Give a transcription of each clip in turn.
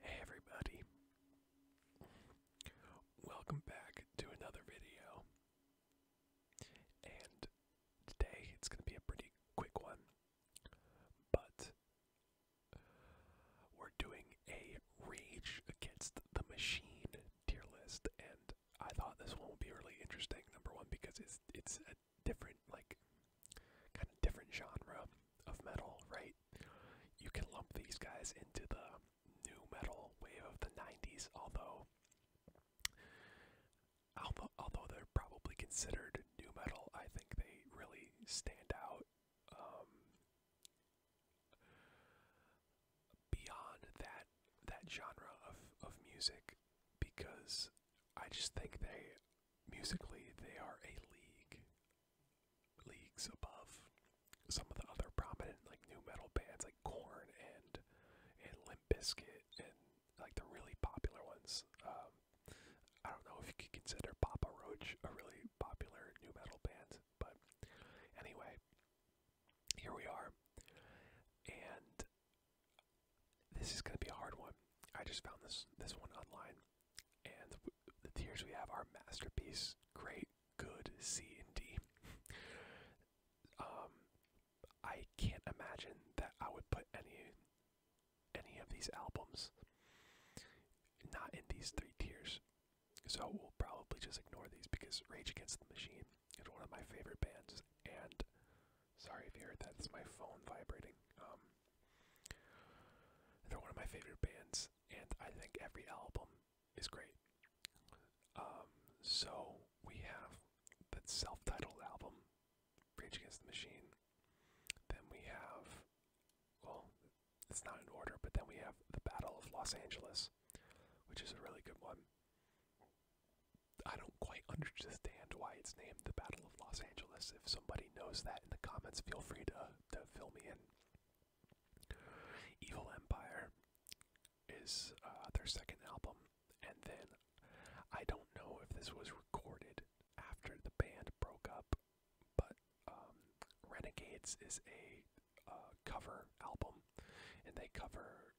Hey everybody. Welcome back to another video. And today it's going to be a pretty quick one. But we're doing a Rage Against the Machine tier list and I thought this one would be really interesting number 1 because it's it's a different like kind of different genre of metal, right? You can lump these guys into the new metal wave of the 90s, although although, they're probably considered new metal, I think they really stand out um, beyond that that genre of, of music because I just think they musically they are a league leagues above some of the other prominent like new metal bands like Corn and and Limp Bizkit and like the really popular ones. Um, I don't know if you could consider Papa Roach a really popular new metal band, but anyway, here we are. And this is going to be a hard one. I just found this this one online and the, the tiers we have are masterpiece, great, good, C, and D. um, I can't imagine that I would put any any of these albums not in these three tiers. So we'll probably just ignore these because Rage Against the Machine is one of my favorite bands. And sorry if you heard that, it's my phone vibrating. Um, they're one of my favorite bands, and I think every album is great. Um, so we have the self-titled album, Rage Against the Machine. Then we have, well, it's not in order, but then we have the Battle of Los Angeles, which is a really good one. I don't quite understand why it's named the Battle of Los Angeles. If somebody knows that in the comments, feel free to, to fill me in. Evil Empire is uh, their second album, and then I don't know if this was recorded after the band broke up, but um, Renegades is a uh, cover album, and they cover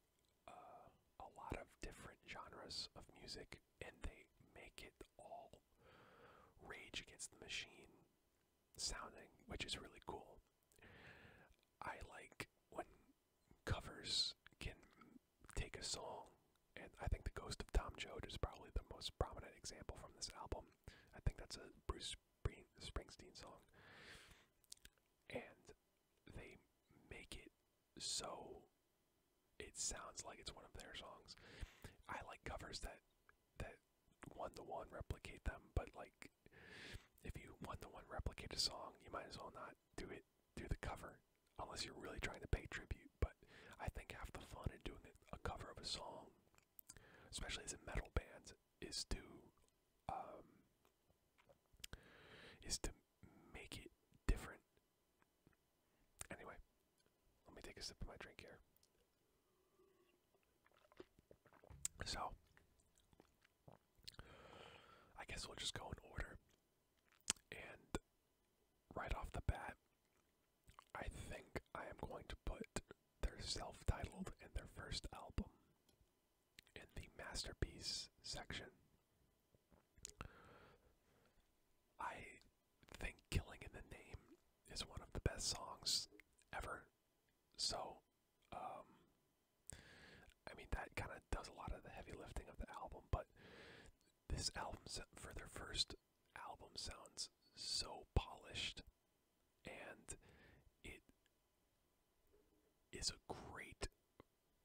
uh, a lot of different genres of music, and they make it all Rage Against the Machine sounding, which is really cool. I like when covers can take a song, and I think The Ghost of Tom Joad is probably the most prominent example from this album. I think that's a Bruce Springsteen song. And they make it so it sounds like it's one of their songs. I like covers that that one to one replicate them, but like if you one to one replicate a song, you might as well not do it do the cover unless you're really trying to pay tribute. But I think half the fun in doing a cover of a song, especially as a metal band, is to um, is to make it different. Anyway, let me take a sip of my drink here. So, I guess we'll just go in order. And right off the bat, I think I am going to put their self titled and their first album in the masterpiece section. I think Killing in the Name is one of the best songs ever. So, um, I mean, that kind of does a lot of the heavy lifting of the album, but this album, for their first album, sounds so polished and it is a great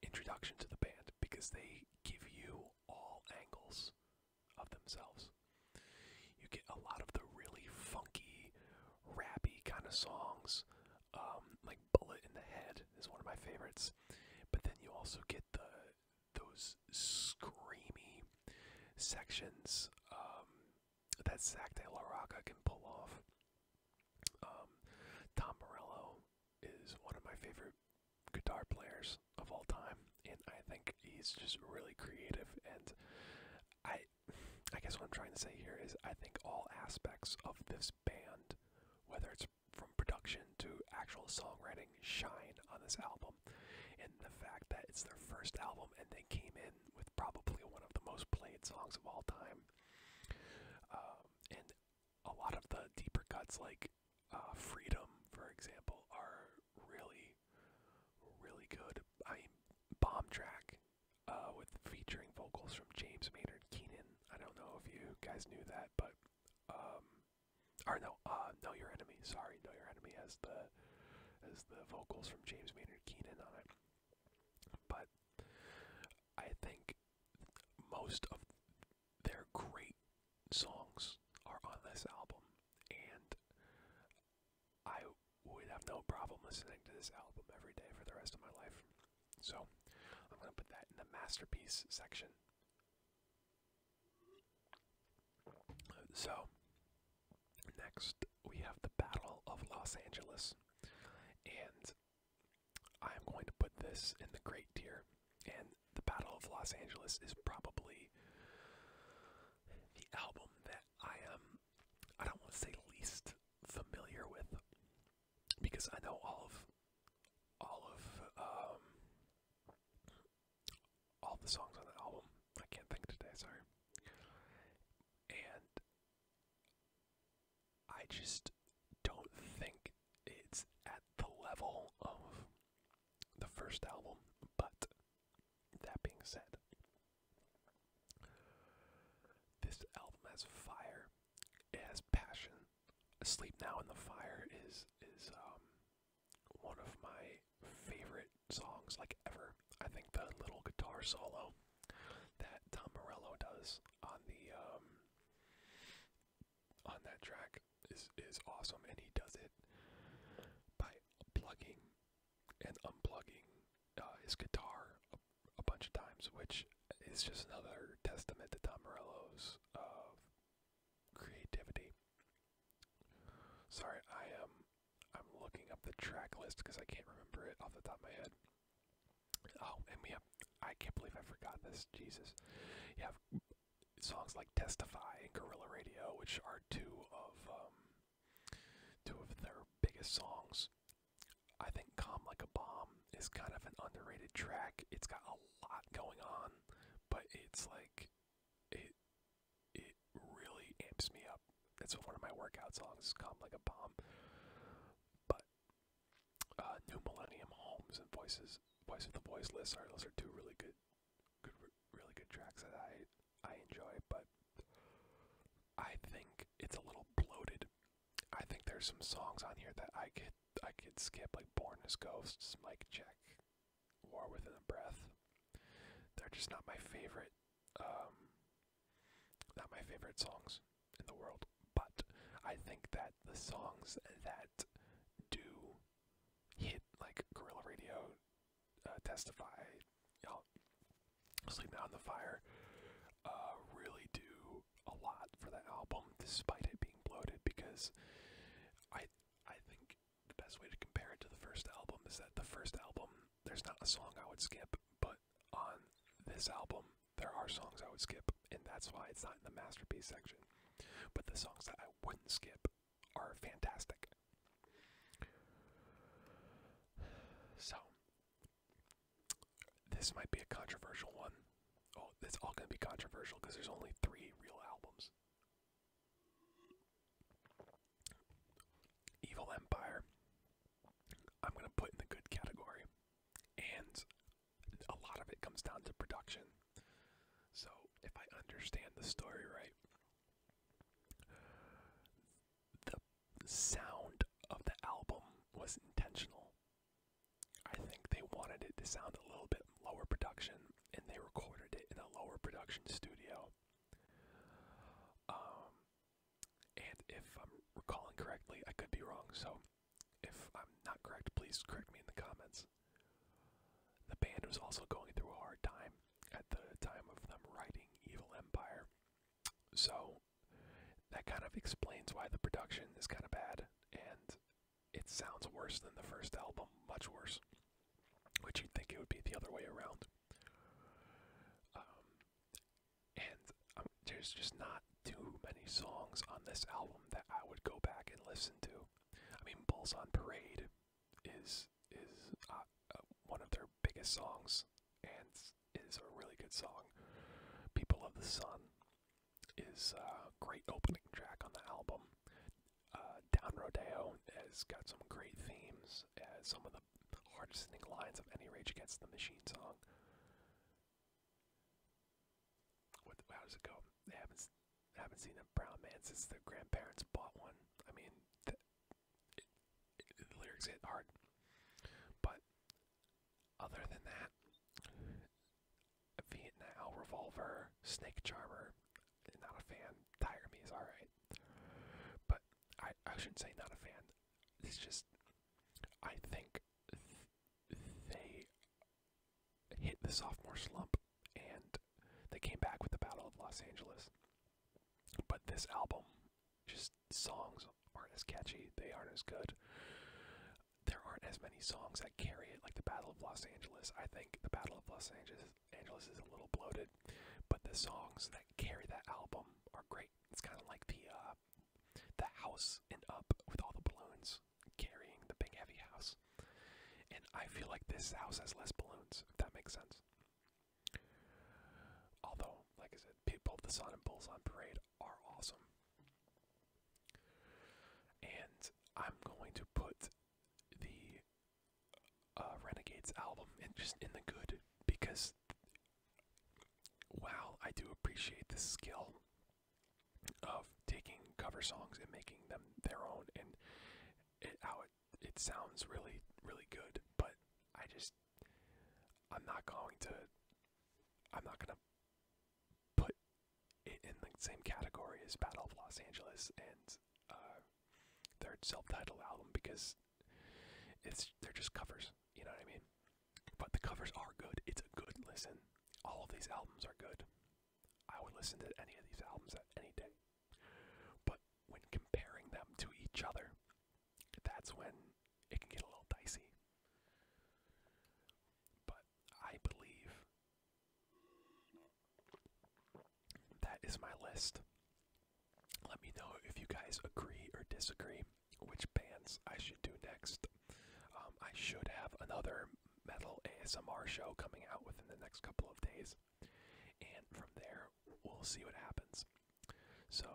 introduction to the band because they give you all angles of themselves. You get a lot of the really funky, rappy kind of songs, um, like "Bullet in the Head" is one of my favorites. But then you also get the those screamy sections um, that Zach De La can pull off. Um, Tom Morello is one of my favorite guitar players of all time and I think he's just really creative. And I, I guess what I'm trying to say here is I think all aspects of this band, whether it's from production to actual songwriting, shine on this album. And the fact that it's their first album and they came in with probably one of the most played songs of all time. Um, and a lot of the deeper cuts, like uh, Freedom, for example, are really, really good. I bomb track uh, with featuring vocals from James Maynard Keenan. I don't know if you guys knew that, but um, or no, uh, no, your enemy. Sorry, no, your enemy has the as the vocals from James Maynard Keenan on it. But I think most of their great songs are on this album, and I would have no problem listening to this album every day for the rest of my life. So I'm going to put that in the masterpiece section. So next we have the Battle of Los Angeles. And I'm going to put this in the great tier. And the Battle of Los Angeles is probably the album that I am, um, I don't want to say least familiar with, because I know all of, all of, um, all the songs on the album. I can't think today, sorry. And I just don't think it's at the level of the first album, but that being said, this album has fire. It has passion. Sleep Now in the Fire is is um one of my favorite songs like ever. I think the little guitar solo that Tom Morello does on the um on that track is is awesome and he does it by plugging and unplugging uh, his guitar a, bunch of times, which is just another testament to Tom Morello's uh, creativity. Sorry, I am I'm looking up the track list because I can't remember it off the top of my head. Oh, and we I can't believe I forgot this. Jesus, you have songs like "Testify" and "Guerrilla Radio," which are two of um, two of their biggest songs. I think Calm Like a Bomb is kind of an underrated track. It's got a lot going on, but it's like it it really amps me up. It's one of my workout songs, Calm Like a Bomb. But uh, New Millennium Homes and Voices Voice of the Voiceless are those are two really good good really good tracks that I I enjoy, but I think it's a little bloated. I think there's some songs on here that I could I could skip, like Born as Ghosts, Mike Check, War Within a Breath. They're just not my favorite um, not my favorite songs in the world. But I think that the songs that do hit like Gorilla Radio uh, testify, sleep now in the fire, uh, really do a lot for that album, despite it being bloated. Because I, I think the best way to compare it to the first album is that the first album, there's not a song I would skip, but on this album, there are songs I would skip, and that's why it's not in the masterpiece section. But the songs that I wouldn't skip are fantastic. So, this might be a controversial one. Oh, it's all going to be controversial because there's only three real albums Evil Empire, I'm going to put in the good category. And a lot of it comes down to production. So, if I understand the story right, the sound of the album was intentional. I think they wanted it to sound a little bit lower production, and they recorded it in a lower production studio. Um, and if I'm recalling correctly, I could be wrong, so if I'm not correct, please correct me in the comments. The band was also going through a hard time at the time of them writing Evil Empire. So that kind of explains why the production is kind of bad and it sounds worse than the first album, much worse. Which you'd think it would be the other way around. Um, and um, there's just not too many songs on this album that I would go back and listen to. I mean, Bulls on Parade is is uh, uh, one of their biggest songs, and is a really good song. People of the Sun is a uh, great opening track on the album. Uh, Down Rodeo has got some great themes, as some of the hardest hitting lines of any Rage Against the Machine song. how does it go? They haven't, haven't seen a brown man since their grandparents bought one. I mean, lyrics hit hard. But other than that, Vietnam Revolver, Snake Charmer, not a fan. Tire Me is alright. But I, I shouldn't say not a fan. It's just, I think they hit the sophomore slump and they came back with the Battle of Los Angeles. But this album, just songs aren't as catchy, they aren't as good. There aren't as many songs that carry it, like the Battle of Los Angeles. I think the Battle of Los Angeles, Angeles is a little bloated, but the songs that carry that album are great. It's kind of like the uh, the house and up with all the balloons carrying the big heavy house. And I feel like this house has less balloons, if that makes sense. Although, like I said, both the Sun and Bulls on Parade are awesome. And I'm going to put the uh, Renegades album just in the good because wow, I do appreciate the skill of taking cover songs and making them their own and it, it, sounds really, really good, but I just, I'm not going to, I'm not going to put it in the same category as Battle of Los Angeles and uh, their self-titled album because it's they're just covers, you know what I mean? But the covers are good. It's a good listen. All of these albums are good. I would listen to any of these albums at any day. But when comparing them to each other, that's when it can get a little dicey. But I believe that is my list. Let me know if you guys agree or disagree which bands I should do next. Um, I should have another metal ASMR show coming out within the next couple of days. And from there, we'll see what happens. So,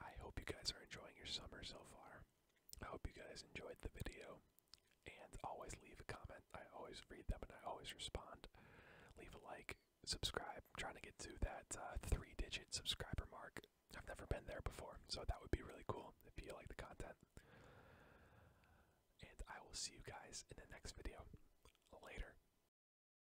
I hope you guys are enjoying your summer so far. I hope you guys enjoyed the video. And always leave a comment. I always read them and I always respond. Leave a like, subscribe. I'm trying to get to that uh, three digit subscriber mark. I've never been there before, so that would be really cool if you like the content. And I will see you guys in the next video. Later.